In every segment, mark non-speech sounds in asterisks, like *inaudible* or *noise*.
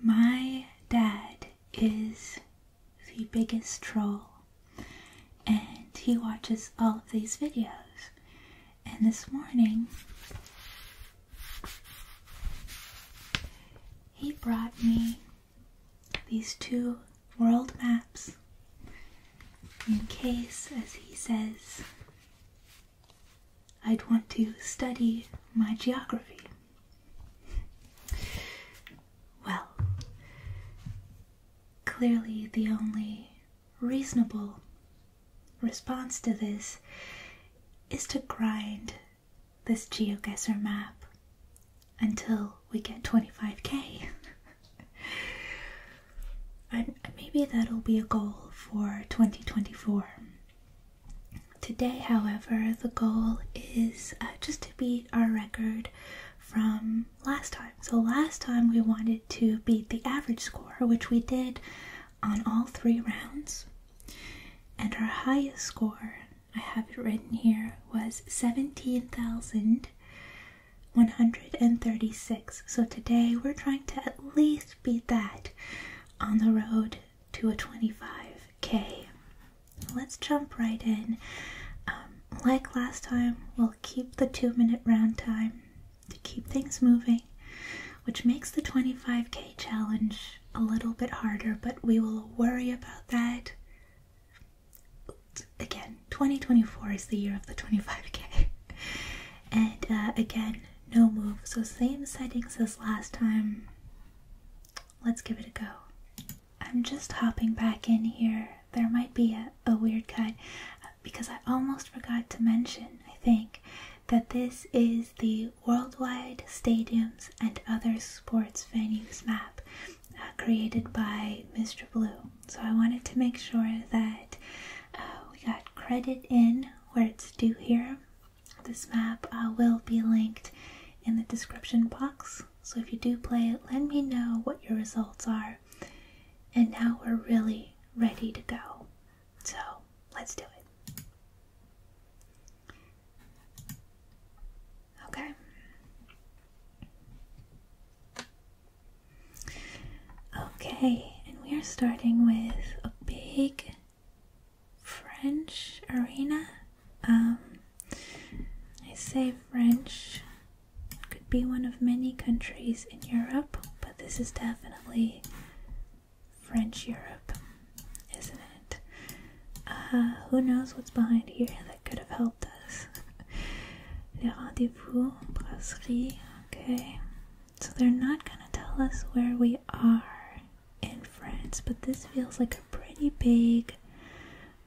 My dad is the biggest troll, and he watches all of these videos. And this morning, he brought me these two world maps in case, as he says, I'd want to study my geography. Well, clearly the only reasonable response to this is to grind this geoguesser map until we get 25k. *laughs* and maybe that'll be a goal for 2024. Today, however, the goal is uh, just to beat our record from last time. So, last time we wanted to beat the average score, which we did on all three rounds. And our highest score, I have it written here, was 17,136. So, today we're trying to at least beat that on the road to a 25k. Let's jump right in. Um, like last time, we'll keep the two minute round time to keep things moving, which makes the 25k challenge a little bit harder, but we will worry about that. Again, 2024 is the year of the 25k. *laughs* And uh, again, no move, so same settings as last time. Let's give it a go. I'm just hopping back in here. There might be a, weird cut uh, because I almost forgot to mention, I think, that this is the Worldwide Stadiums and Other Sports Venues map uh, created by Mr. Blue. So I wanted to make sure that uh, we got credit in where it's due here this map will be linked in the description box. So if you do play it, let me know what your results are. And now we're really ready to go. So let's do it. Okay. Okay, and we are starting with a big French arena. Um, I say French could be one of many countries in Europe, but this is definitely French Europe, isn't it? Uh, who knows what's behind here that could have helped us? *laughs* Les rendezvous, brasserie, okay. So they're not gonna tell us where we are in France, but this feels like a pretty big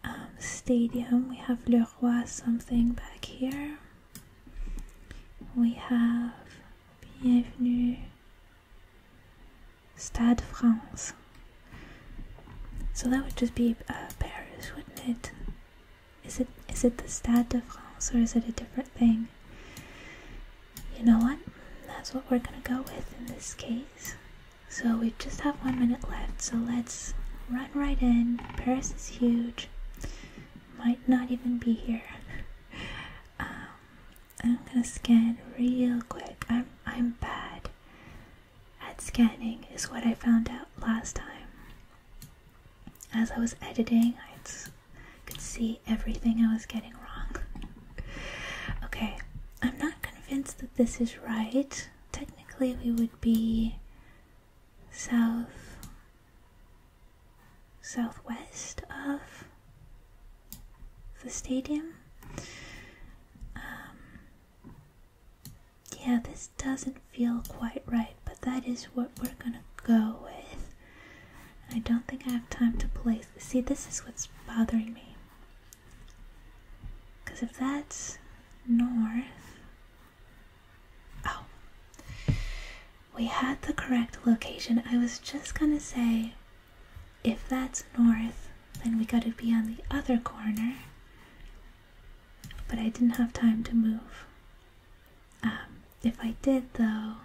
um, stadium. We have Le Roi something back here. We have Bienvenue Stade France. So that would just be uh, Paris, wouldn't it? Is it is it the Stade de France or is it a different thing? You know what? That's what we're gonna go with in this case. So we just have one minute left, so let's run right in. Paris is huge. Might not even be here. *laughs* Um, I'm gonna scan real quick. I'm I'm bad at scanning, is what I found out last time. As I was editing, I could see everything I was getting wrong okay, I'm not convinced that this is right. Technically, we would be south southwest of the stadium. Um, yeah, this doesn't feel quite right, but that is what we're gonna go with. I don't think I have time to place. See, this is what's bothering me. Because if that's north. Oh. We had the correct location. I was just gonna say if that's north, then we gotta be on the other corner. But I didn't have time to move. Um, if I did, though,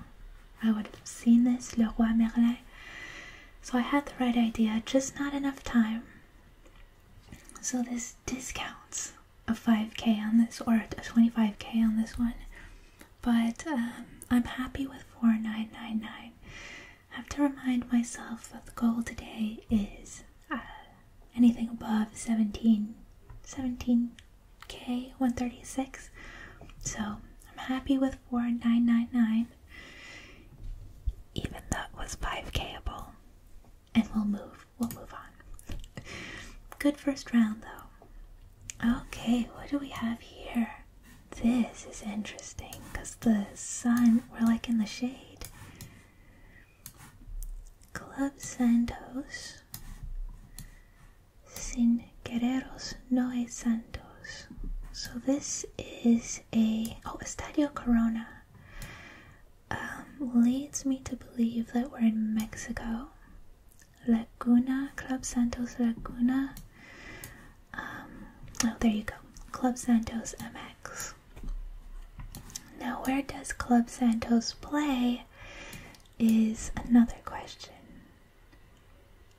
I would have seen this, Le Roi Merlin. So I had the right idea, just not enough time. So this discounts a 5k on this, or a 25k on this one. But um, I'm happy with 4999. I have to remind myself that the goal today is uh, anything above 17, 17k 136. So I'm happy with 4999. Even that was 5kable. And we'll move. We'll move on. Good first round though. Okay, what do we have here? This is interesting because the sun, we're like in the shade. Club Santos. Sin Guerreros No Santos. So this is a oh Estadio Corona um, leads me to believe that we're in Mexico. Laguna Club Santos Laguna. Um, oh, there you go, Club Santos MX. Now, where does Club Santos play? Is another question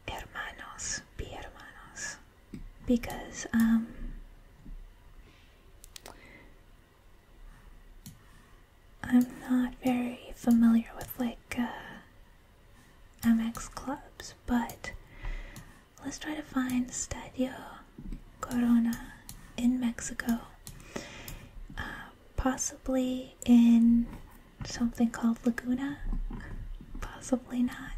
hermanos, be hermanos, because um, I'm not very familiar with like uh, MX clubs, but let's try to find Stadio Corona in Mexico, uh, possibly in something called Laguna, possibly not.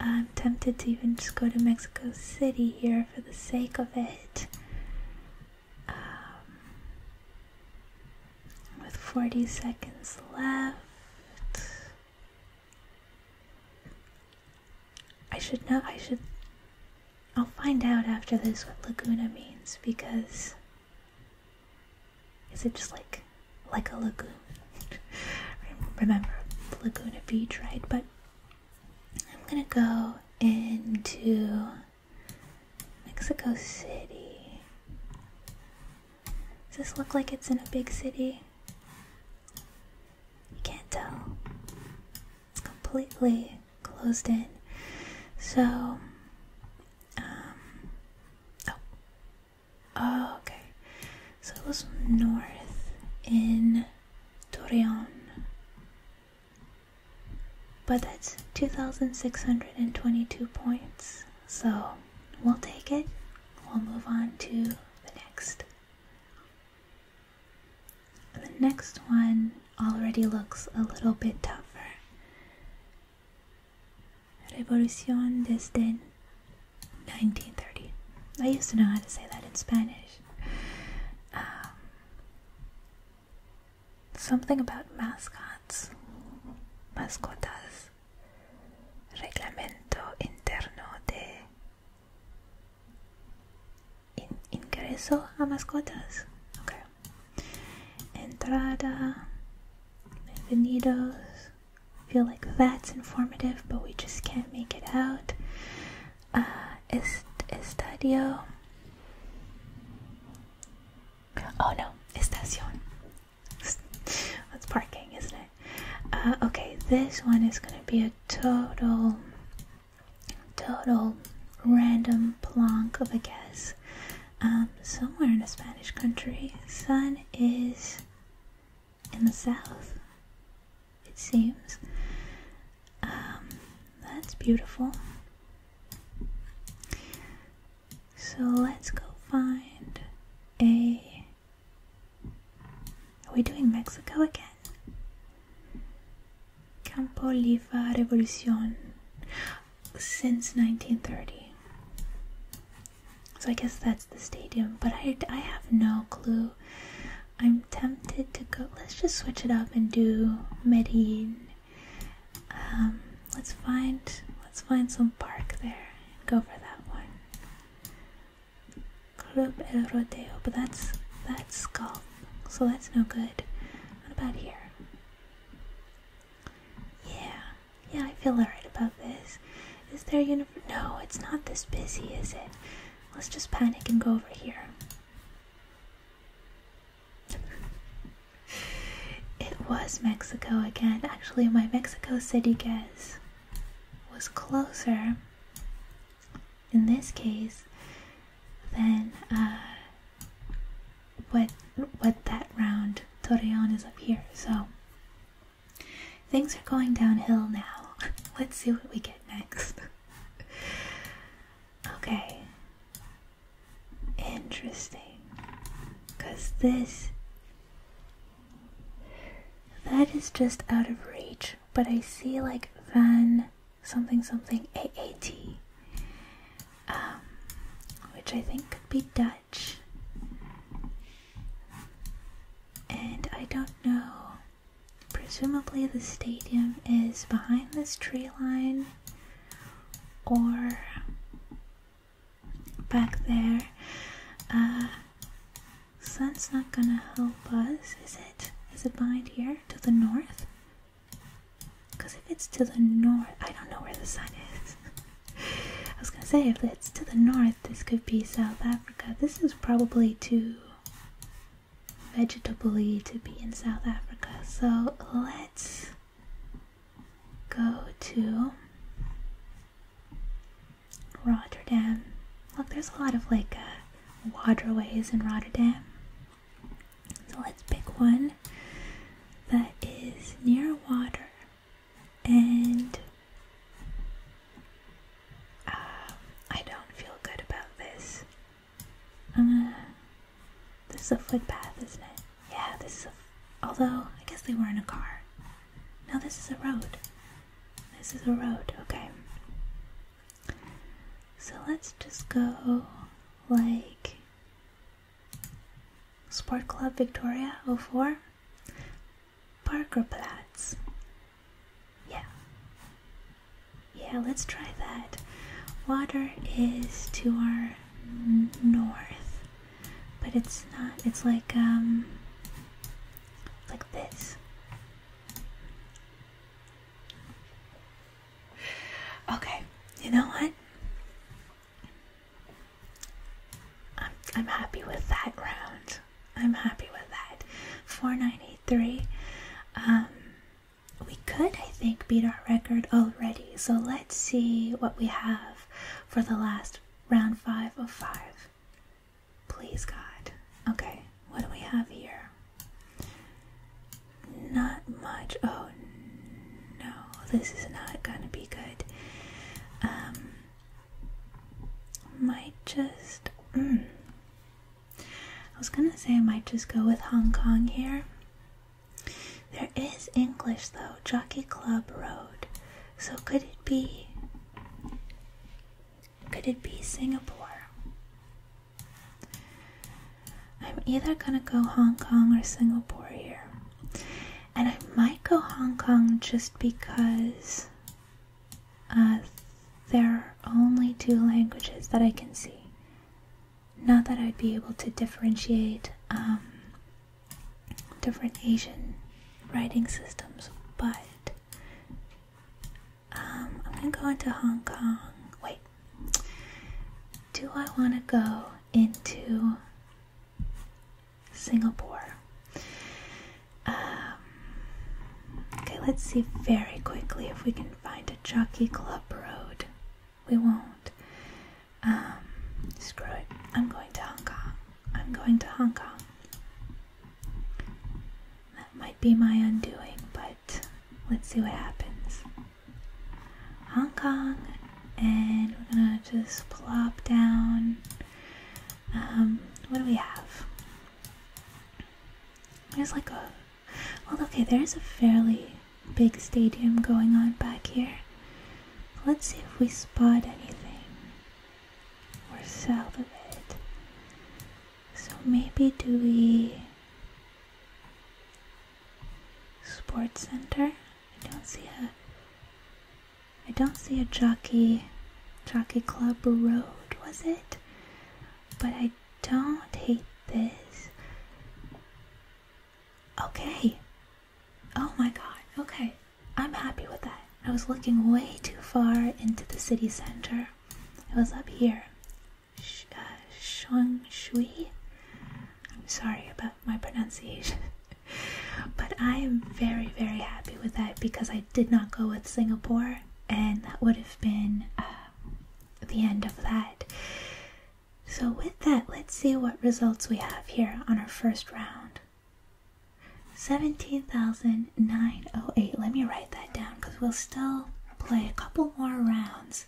I'm tempted to even just go to Mexico City here for the sake of it. Um, with 40 seconds left. I should know, I should. I'll find out after this what Laguna means because. Is it just like like a lagoon. *laughs* Remember Laguna Beach, right? But I'm gonna go into Mexico City. Does this look like it's in a big city? You can't tell. It's completely closed in. So, um, oh, Oh, okay. So it was north in Torreon. But that's 2,622 points. So we'll take it. We'll move on to the next. The next one already looks a little bit tougher. Revolucion desde 1930. I used to know how to say that in Spanish. Um, something about mascots. Mascotas. Reglamento interno de in ingreso a mascotas. Okay. Entrada. Bienvenidos feel like that's informative, but we just can't make it out. estadio. Uh, oh no, estacion. That's parking, isn't it? Uh, okay, this one is gonna be a total, total random plonk of a guess. Um, somewhere in a Spanish country, sun is in the south, it seems. Um, that's beautiful. So let's go find a. Are we doing Mexico again? Campo Oliva Revolucion since 1930. So I guess that's the stadium, but I, I have no clue. I'm tempted to go. Let's just switch it up and do Medellin. Um, let's find let's find some park there and go for that one. Club El Rodeo, but that's that's golf, so that's no good. What about here? Yeah, yeah, I feel alright about this. Is there universe? No, it's not this busy, is it? Let's just panic and go over here. it was Mexico again. Actually, my Mexico City guess was closer in this case then uh, what what that round Torreon is up here. So Things are going downhill now. *laughs* Let's see what we get next. *laughs* okay. Interesting. Because this. That is just out of reach. But I see like Van something something AAT. Um, which I think could be Dutch. And I don't know. Presumably, the stadium is behind this tree line or back there. Uh, sun's not gonna help us, is it? Is it behind here to the north? Because if it's to the north, I don't know where the sun is. *laughs* I was gonna say, if it's to the north, this could be South Africa. This is probably too vegetably to be in South Africa. So let's go to Rotterdam. Look, there's a lot of like uh, waterways in Rotterdam. So let's pick one that is near water and uh, I don't feel good about this. this is a footpath, isn't it? Yeah, this is a. Although, I guess they were in a car. No, this is a road. This is a road, okay. So let's just go like Sport Club Victoria 04. Parkerplatz. Yeah. Yeah, let's try that. Water is to our north, but it's not, it's like, um, like this. Okay, you know what? I'm, I'm happy with that round. I'm happy with that. four ninety three. Um, we could, I think, beat our record already. So let's see what we have for the last round five of five. Please, God. Okay, what do we have here? Not much. Oh no, this is not gonna be good. Um, might just. Mm. I was gonna say I might just go with Hong Kong here. There is English though, Jockey Club Road. So could it be. Could it be Singapore? I'm either gonna go Hong Kong or Singapore here. And I might go Hong Kong just because uh, there are only two languages that I can see. Not that I'd be able to differentiate um, different Asian writing systems, but um, I'm gonna go into Hong Kong. Wait, do I want to go into Singapore. Um, okay, let's see very quickly if we can find a Jockey Club Road. We won't. Um, screw it. I'm going to Hong Kong. I'm going to Hong Kong. That might be my undoing, but let's see what happens. Hong Kong, and we're gonna just plop down. Um, what do we have? There's like a. Well, okay, there's a fairly big stadium going on back here. Let's see if we spot anything. We're south of it. So maybe do we. Sports Center? I don't see it. I don't see a jockey, jockey club road, was it? But I don't hate this. Okay. Oh my god, okay. I'm happy with that. I was looking way too far into the city center. It was up here. Sh uh, I'm sorry about my pronunciation. *laughs* but I am very, very happy with that because I did not go with Singapore, and that would have been um, the end of that. So, with that, let's see what results we have here on our first round. 17,908. Let me write that down because we'll still play a couple more rounds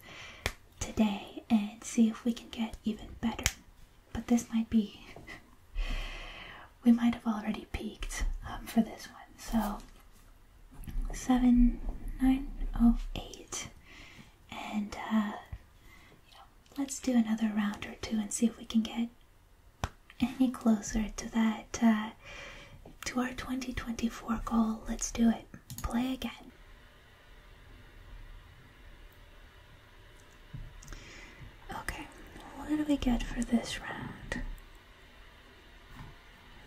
today and see if we can get even better. But this might be we might have already peaked um, for this one. So 7908. And uh, you know, let's do another round or two and see if we can get any closer to that, uh, to our 2024 goal. Let's do it. Play again. Okay, what do we get for this round?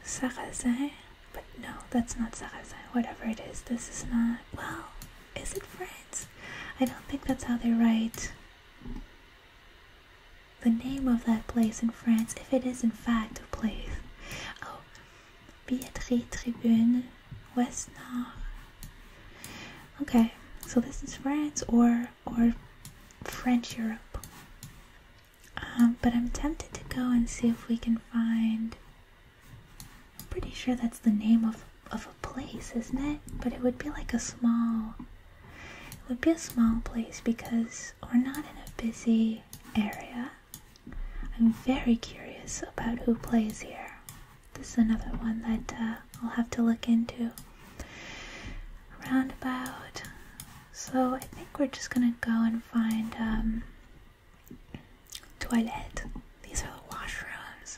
Sarrazin? But no, that's not Sarrazin. Whatever it is, this is not. Well, is it France? I don't think that's how they write the name of that place in France, if it is in fact a place. Oh, Billetterie Tribune, West Nord. Okay, so this is France or or French Europe. Um, but I'm tempted to go and see if we can find. pretty sure that's the name of of a place, isn't it? But it would be like a small. It would be a small place because we're not in a busy area. I'm very curious about who plays here. This is another one that uh, I'll have to look into roundabout. So I think we're just gonna go and find um toilet. These are the washrooms.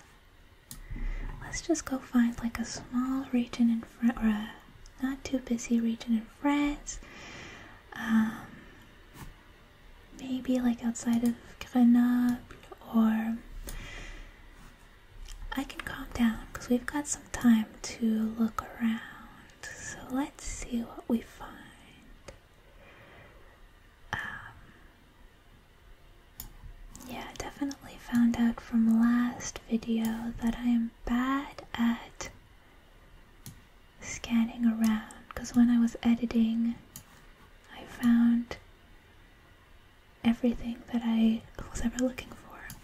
Let's just go find like a small region in France not too busy region in France. Um, maybe like outside of Grenoble or I can calm down because we've got some time to look around. So let's see what we find. Um, yeah, definitely found out from last video that I am bad at scanning around because when I was editing, I found everything that I was ever looking for.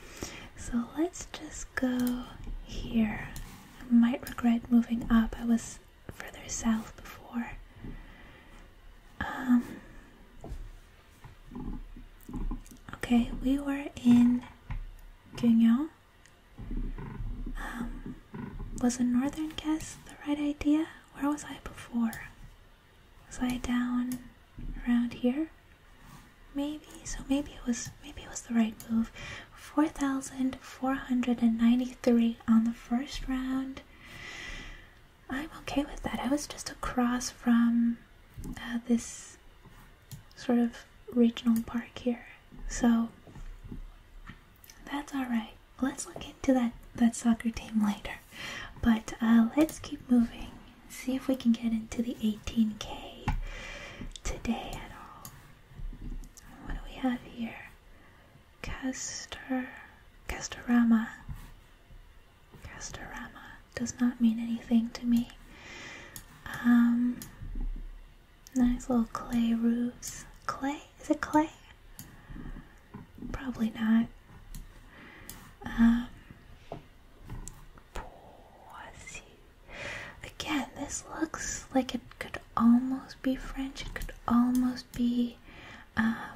So let's just go here. I might regret moving up. I was further south before. Um, okay, we were in Guignon. Um, was a northern guess the right idea? Where was I before? Was I down around here? Maybe so. Maybe it was. Maybe it was the right move. Four thousand four hundred and ninety-three on the first round. I'm okay with that. I was just across from uh, this sort of regional park here, so that's all right. Let's look into that that soccer team later, but uh, let's keep moving see if we can get into the 18k today at all. What do we have here? Castor, Castorama. Castorama does not mean anything to me. Um, nice little clay roofs. Clay? Is it clay? Probably not. Um, Again, this looks like it could almost be French. It could almost be um,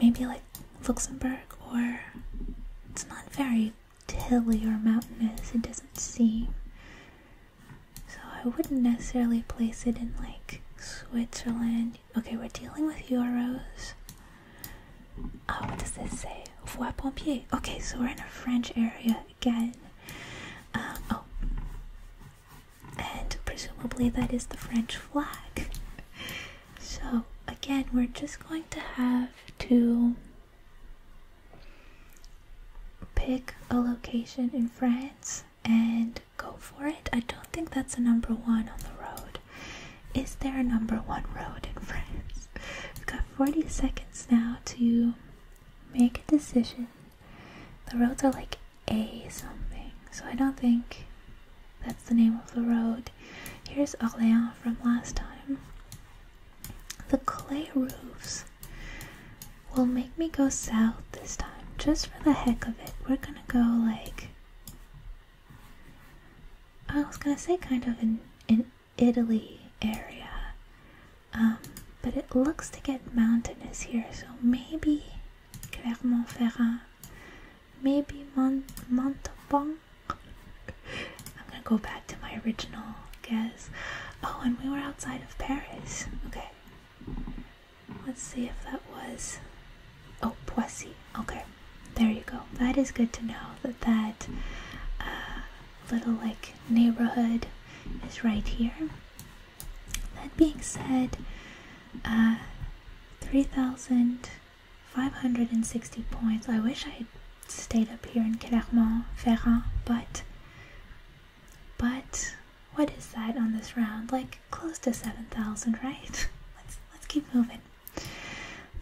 maybe like Luxembourg, or it's not very hilly or mountainous, it doesn't seem. So I wouldn't necessarily place it in like Switzerland. Okay, we're dealing with euros. Oh, what does this say? Voie pompier. Okay, so we're in a French area again. Um, oh, and presumably that is the French flag. *laughs* so again, we're just going to have to pick a location in France and go for it. I don't think that's a number one on the road. Is there a number one road in France? We've got 40 seconds now to make a decision. The roads are like A something, so I don't think that's the name of the road. Here's Orléans from last time. The clay roofs will make me go south this time, just for the heck of it. We're gonna go like I was gonna say kind of in in Italy area. Um, but it looks to get mountainous here, so maybe Clermont-Ferrand, maybe Mont Montauban. I'm gonna go back to my original guess. Oh, and we were outside of Paris. Okay. Let's see if that was. Oh, Poissy. Okay there you go. That is good to know that that uh, little like neighborhood is right here. That being said, uh, 3,560 points. I wish I had stayed up here in Clermont-Ferrand, but but what is that on this round? Like close to 7,000, right? *laughs* Let's let's keep moving.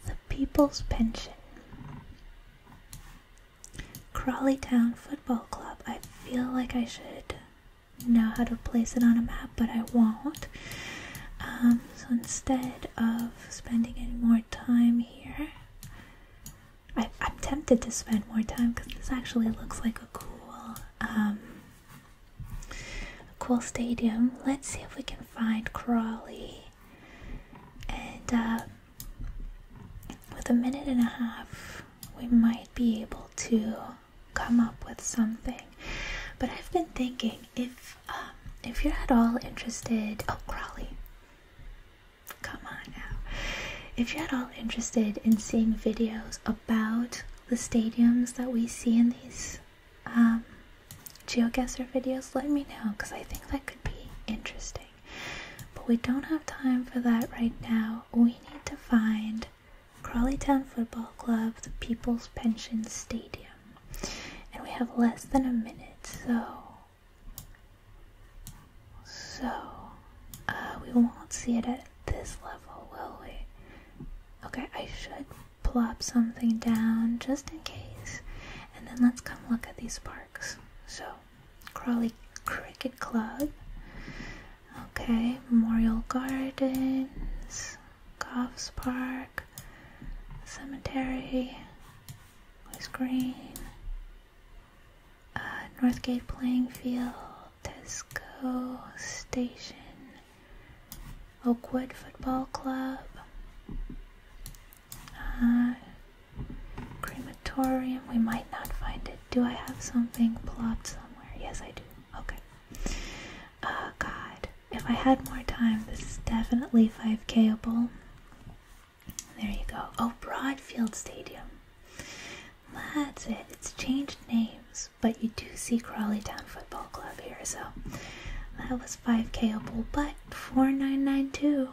The People's Pension. Crawley Town Football Club. I feel like I should know how to place it on a map, but I won't. Um, so instead of spending any more time here, I, am tempted to spend more time because this actually looks like a cool, um, a cool stadium. Let's see if we can find Crawley and uh, with a minute and a half, we might be able to come up with something. But I've been thinking if um, if you're at all interested, oh Crawley, come on now. If you're at all interested in seeing videos about the stadiums that we see in these um, geoguesser videos, let me know because I think that could be interesting. But we don't have time for that right now. We need to find Crawley Town Football Club, the People's Pension Stadium. And we have less than a minute, so. So, uh, we won't see it at this level, will we? Okay, I should plop something down just in case. And then let's come look at these parks. So, Crawley Cricket Club, okay, Memorial Gardens, Coffs Park, Cemetery, West Green, uh, Northgate Playing Field, Tesco Station, Oakwood Football Club, uh, crematorium, we might not find it. Do I have something plopped somewhere? Yes, I do. Okay. Oh God, if I had more time, this is definitely 5Kable. There you go. Oh, Broadfield Stadium. That's it. It's changed names, but you do see Crawley Town Football Club here, so that was 5Kable. But 4992.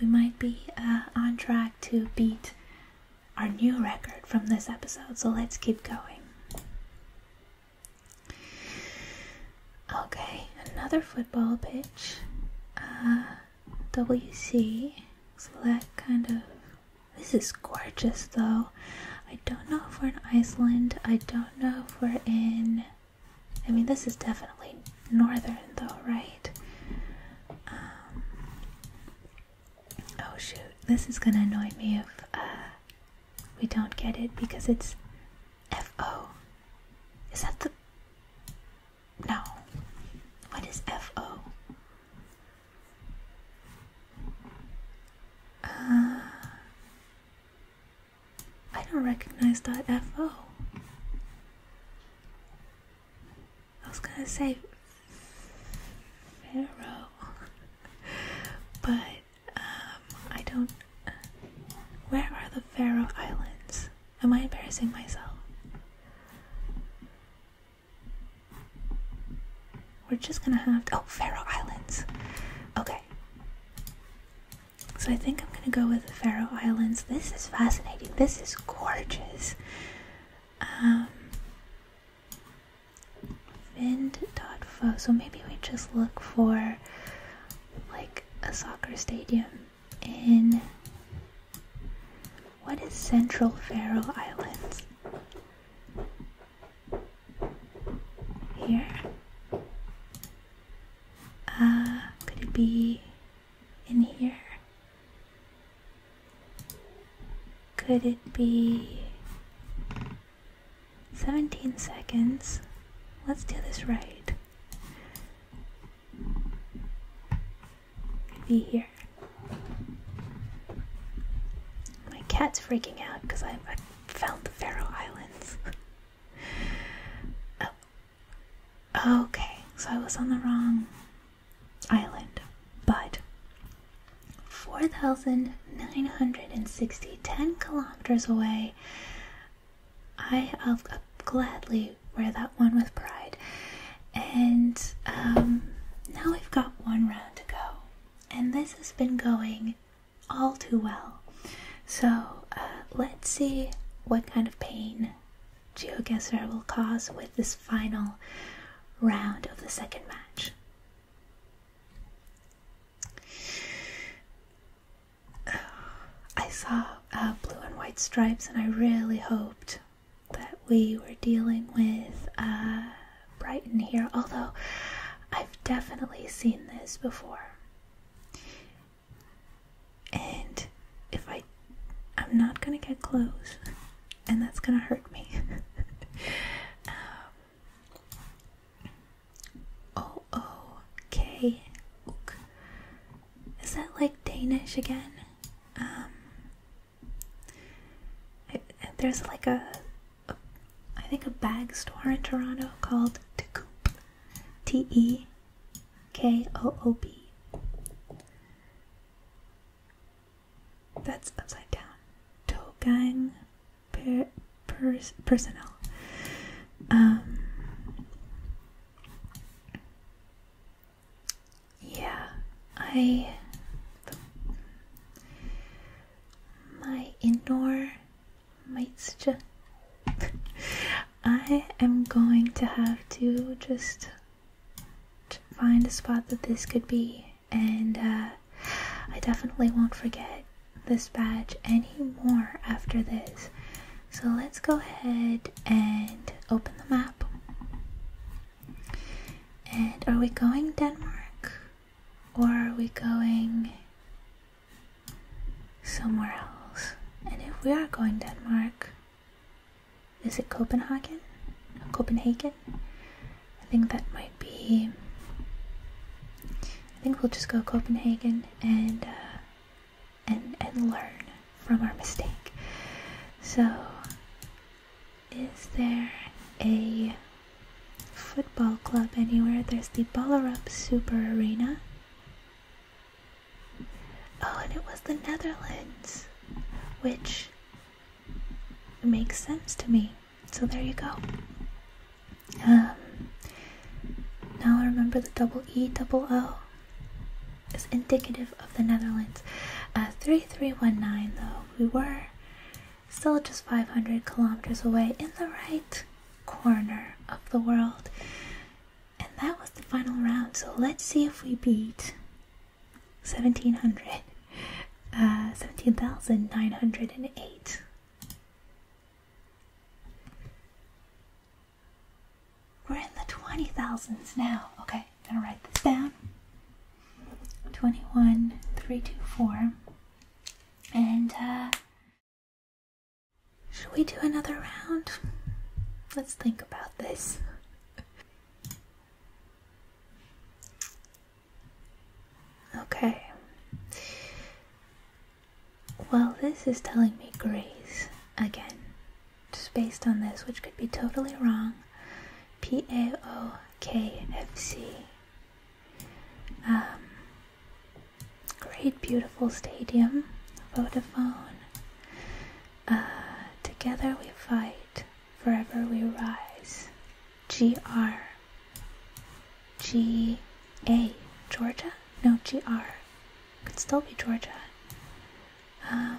We might be uh, on track to beat our new record from this episode, so let's keep going. Okay, another football pitch. Uh, WC. So that kind of. This is gorgeous though. I don't know if we're in Iceland. I don't know if we're in I mean, this is definitely northern, though, right? Um, oh shoot, this is gonna annoy me if uh, we don't get it because it's FO. Is that the. No. What is FO? Uh, I don't recognize that FO. I was gonna say Pharaoh, *laughs* but um, I don't. Where are the Faroe Islands? Am I embarrassing myself? We're just gonna have Oh, Faroe Islands. Okay. So I think I'm gonna go with the Faroe Islands. This is fascinating. This is gorgeous. Um, Vind.fo. So maybe we just look for like a soccer stadium in. What is Central Faroe Islands? Uh, could it be in here? Could it be 17 seconds? Let's do this right. Could be here. My cat's freaking out because I, found the Faroe Islands. *laughs* Oh, Okay, so I was on the wrong island, but 4,960, 10 kilometers away. I, will gladly wear that one with pride. And um, now we've got one round to go. And this has been going all too well. So uh, let's see what kind of pain GeoGuessr will cause with this final round of the second match. I saw uh, blue and white stripes, and I really hoped that we were dealing with uh, Brighton here, although I've definitely seen this before. And if I I'm not gonna get close, and that's gonna hurt me. *laughs* Um, o O K Is that like Danish again? Um, there's like a, I think a bag store in Toronto called Te Koop, T E K O O B. That's upside down. To gang, per, pers, personnel. Um, yeah, I. my indoor moisture. I am going to have to just find a spot that this could be, and uh, I definitely won't forget this badge anymore after this. So let's go ahead and open the map. And are we going Denmark? Or are we going somewhere else. And if we are going Denmark, is it Copenhagen? Copenhagen? I think that might be. I think we'll just go Copenhagen and uh, and and learn from our mistake. So, is there a football club anywhere? There's the Ballerup Super Arena. Oh, and it was the Netherlands, which makes sense to me. So there you go. Um, now I remember the double E double O is indicative of the Netherlands. Uh, 3319, though, we were still just 500 kilometers away in the right corner of the world. And that was the final round, so let's see if we beat 1700, uh, 17,908. We're in the 20,000s now. Okay, I'm gonna write this down. 21, 324. And, uh, should we do another round? Let's think about this. Okay. Well, this is telling me grays again. Just based on this, which could be totally wrong. P A O K F C. Um, Great, beautiful stadium, Vodafone. Uh, together we fight, forever we rise. GR. Georgia? No, GR. Could still be Georgia. Um,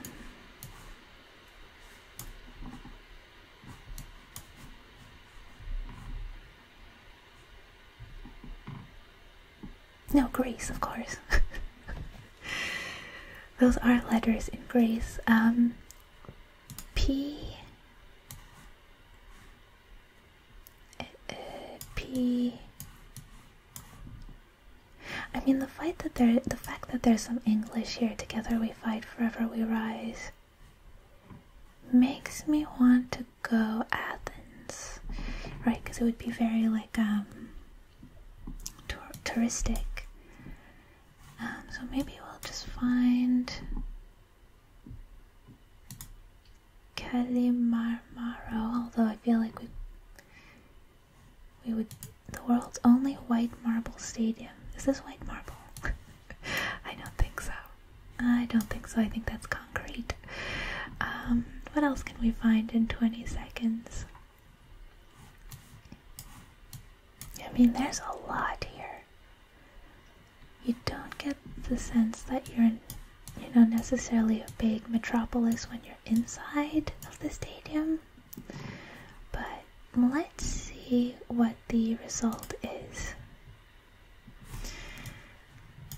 no, grace, of course. *laughs* Those are letters in grace. Um, eh, eh, mean, the fight that there, the fact that there's some English here. Together we fight, forever we rise. Makes me want to go Athens right? Because it would be very like um, touristic. Um, so maybe we'll just find Kalimarmaro. Although I feel like we we would the world's only white marble stadium. Is this white marble? *laughs* I don't think so. I don't think so. I think that's concrete. Um, what else can we find in 20 seconds? I mean, there's a lot here. You don't get the sense that you're, you know, necessarily a big metropolis when you're inside of the stadium. But let's see what the result is.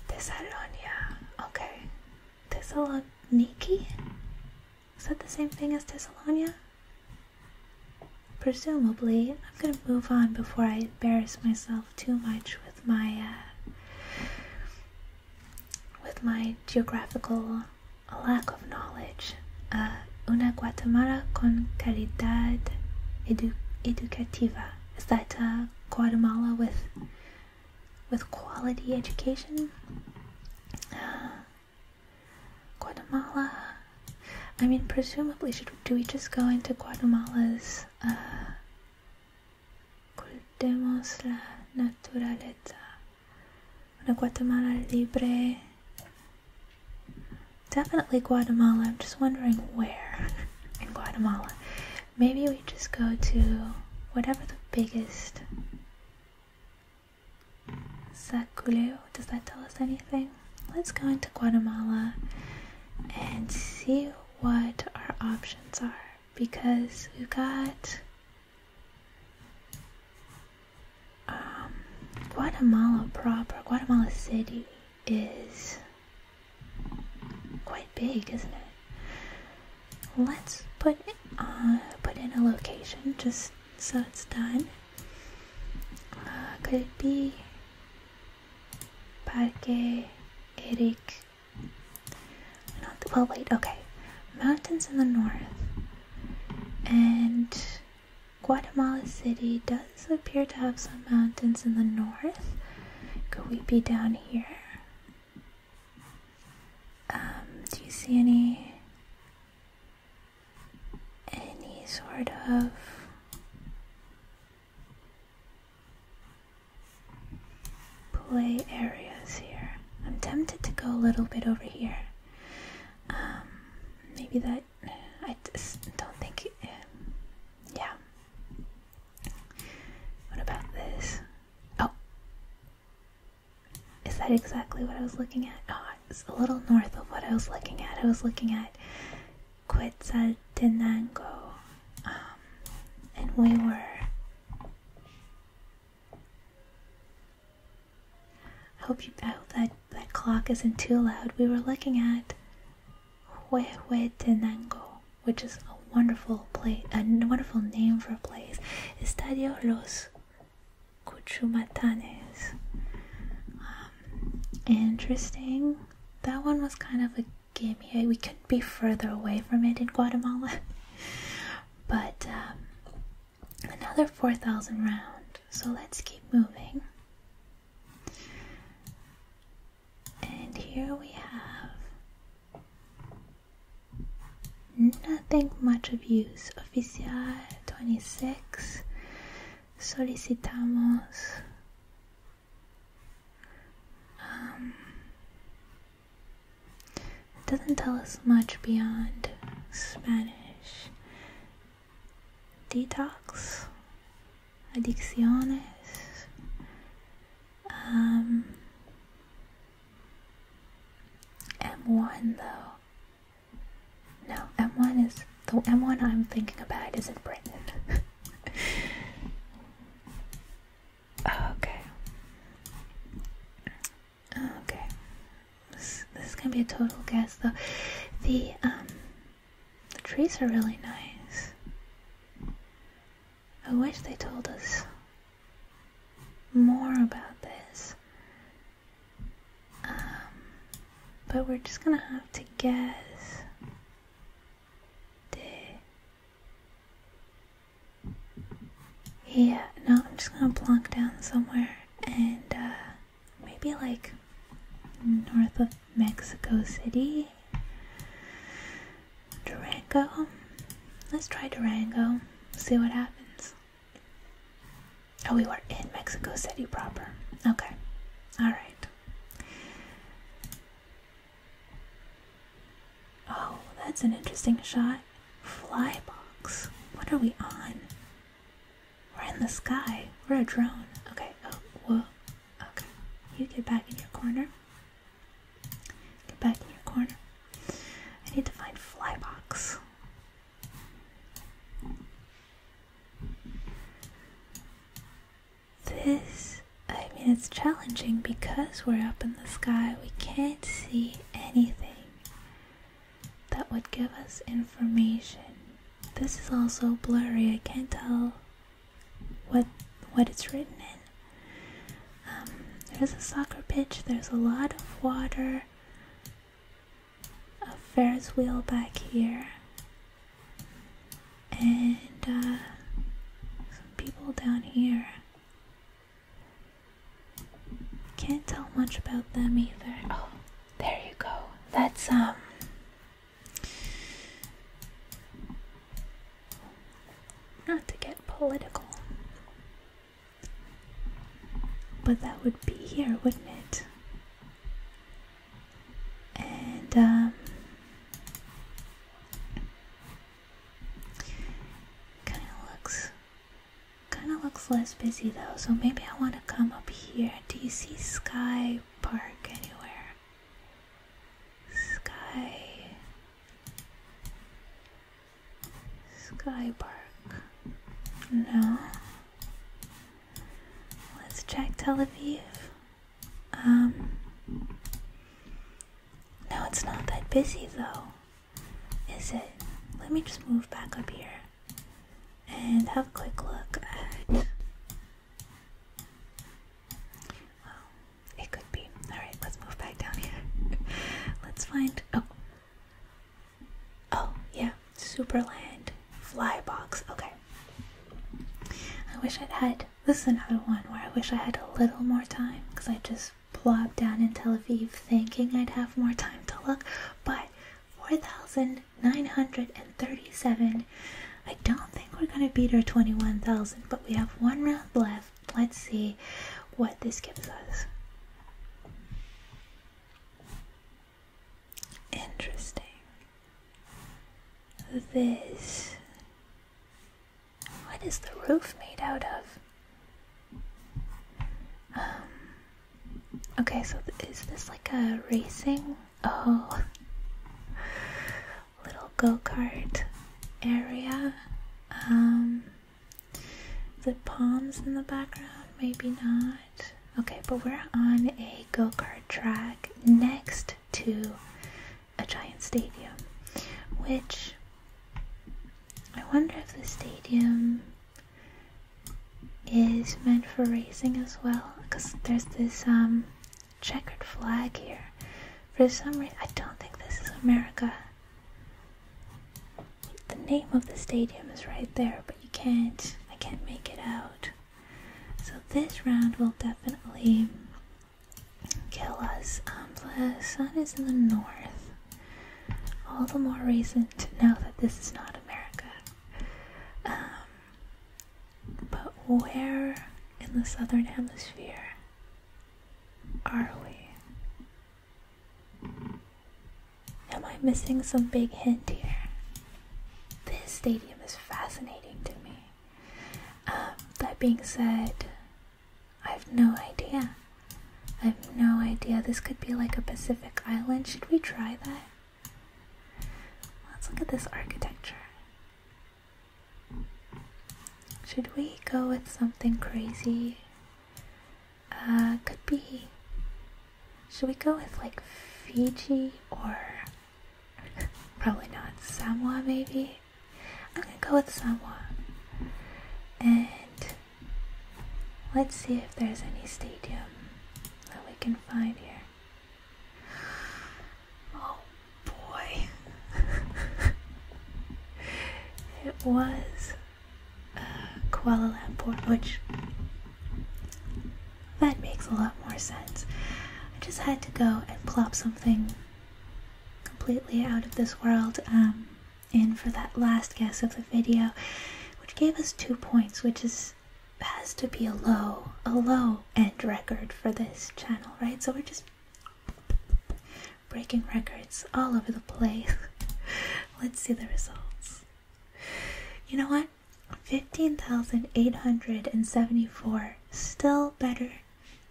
Thessalonia. Okay, Thessaloniki? Is that the same thing as Thessalonia? Presumably, I'm gonna move on before I embarrass myself too much with my uh, with my geographical lack of knowledge. Uh, una Guatemala con calidad educativa. Is that uh, Guatemala with with quality education. Uh, Guatemala. I mean, presumably, should do we just go into Guatemala's uh, cultemos la naturaleza? Una Guatemala libre. Definitely Guatemala. I'm just wondering where in Guatemala. Maybe we just go to whatever the biggest Saculeo. Does that tell us anything? Let's go into Guatemala and see what our options are because we've got um, Guatemala proper, Guatemala City is quite big, isn't it? let's put uh, put in a location just so it's done. Uh, could it be Parque Eric? well. Wait. Okay. Mountains in the north and Guatemala City does appear to have some mountains in the north. Could we be down here? Um, do you see any any sort of play areas here? I'm tempted to go a little bit over here. Um, maybe that I just don't think. yeah. What about this? Oh, is that exactly what I was looking at? Oh, it's a little north of what I was looking at. I was looking at Quetzaltenango, um, and we were. I hope you. I hope that that clock isn't too loud. We were looking at Huehuetenango, which is a wonderful place, a wonderful name for a place. Estadio Los Cuchumatanes. Um, interesting. That one was kind of a gimme. we couldn't be further away from it in Guatemala. *laughs* but um, another 4,000 round. So let's keep moving. And here we have Nothing much of use. Oficial 26. Solicitamos. Um, doesn't tell us much beyond Spanish. Detox. Adicciones. Um, M1 though. No, M1 is the M1 I'm thinking about is in Britain. *laughs* okay. Okay. This, this is gonna be a total guess though. The um the trees are really nice. I wish they told us more about this. Um, but we're just gonna have to guess. Yeah, no, I'm just gonna plonk down somewhere and uh, maybe like north of Mexico City. Durango. Let's try Durango. See what happens. Oh, we were in Mexico City proper. Okay. Alright. Oh, that's an interesting shot. Fly box. What are we on? We're in the sky. We're a drone. Okay. Oh, whoa. Okay. You get back in your corner. Get back in your corner. I need to find Flybox. This, I mean, it's challenging because we're up in the sky. We can't see anything that would give us information. This is also blurry. I can't tell what what it's written in. Um, there's a soccer pitch, there's a lot of water, a Ferris wheel back here, and uh, some people down here. Can't tell much about them either. Oh, there you go. That's, um, not to get political. But that would be here, wouldn't it? And, um, kind of looks, kind of looks less busy though, so maybe I want to come up here. Do you see Sky Park anywhere? Sky Sky Park. No. Let's check Tel Aviv. Um, no, it's not that busy though. Is it? Let me just move back up here and have a quick look at. Oh, Alright, let's move back down here. *laughs* let's find. Oh. Oh, yeah. Superland Fly Box. Okay. I wish I'd had. This is another one where I wish I had a little more time because I just plopped down in Tel Aviv thinking I'd have more time to look. But 4,937. I don't think we're going to beat our 21,000, but we have one round left. Let's see what this gives us. Interesting. This. What is the roof made out of? Um. Okay, so is this like a racing? Oh. *laughs* Little go kart area. Um. The palms in the background, maybe not. Okay, but we're on a go kart track next to a giant stadium, which I wonder if the stadium is meant for racing as well, because there's this um, checkered flag here. For some reason, I don't think this is America. The name of the stadium is right there, but you can't, I can't make it out. So this round will definitely kill us. Um, sun is in the north. All the more reason to know that this is not America. Um, but where in the southern hemisphere are we? Am I missing some big hint here? This stadium is fascinating to me. Um, that being said, I have no idea. I have no idea. This could be like a Pacific island. Should we try that? Let's look at this architecture. Should we go with something crazy? Uh, could be. Should we go with like Fiji or *laughs* probably not Samoa? Maybe I'm gonna go with Samoa. And let's see if there's any stadium that we can find here. Oh boy, *laughs* it was uh, Kuala Lumpur, which that makes a lot more sense. I just had to go and plop something completely out of this world um, in for that last guess of the video, which gave us two points, which is has to be a low, a low end record for this channel, right? So we're just breaking records all over the place. *laughs* Let's see the results. You know what? 15,874, still better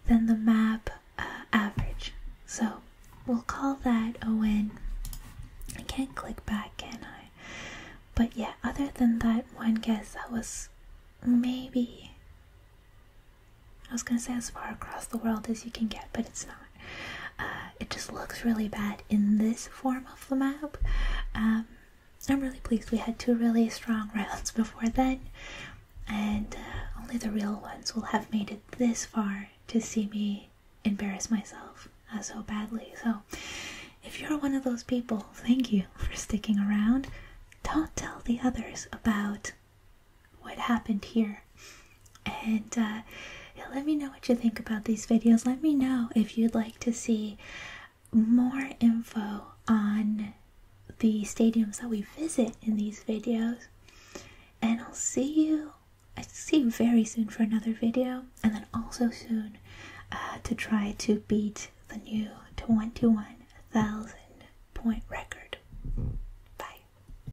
than the map uh, average. So we'll call that a win. I can't click back, can I? But yeah, other than that one guess, that was maybe I was gonna say as far across the world as you can get, but it's not. Uh, it just looks really bad in this form of the map. Um, I'm really pleased we had two really strong *laughs* rounds before then, and uh, only the real ones will have made it this far to see me embarrass myself uh, so badly. So, if you're one of those people, thank you for sticking around. Don't tell the others about what happened here and uh, let me know what you think about these videos let me know if you'd like to see more info on the stadiums that we visit in these videos and i'll see you i will see you very soon for another video and then also soon uh, to try to beat the new 211000 point record bye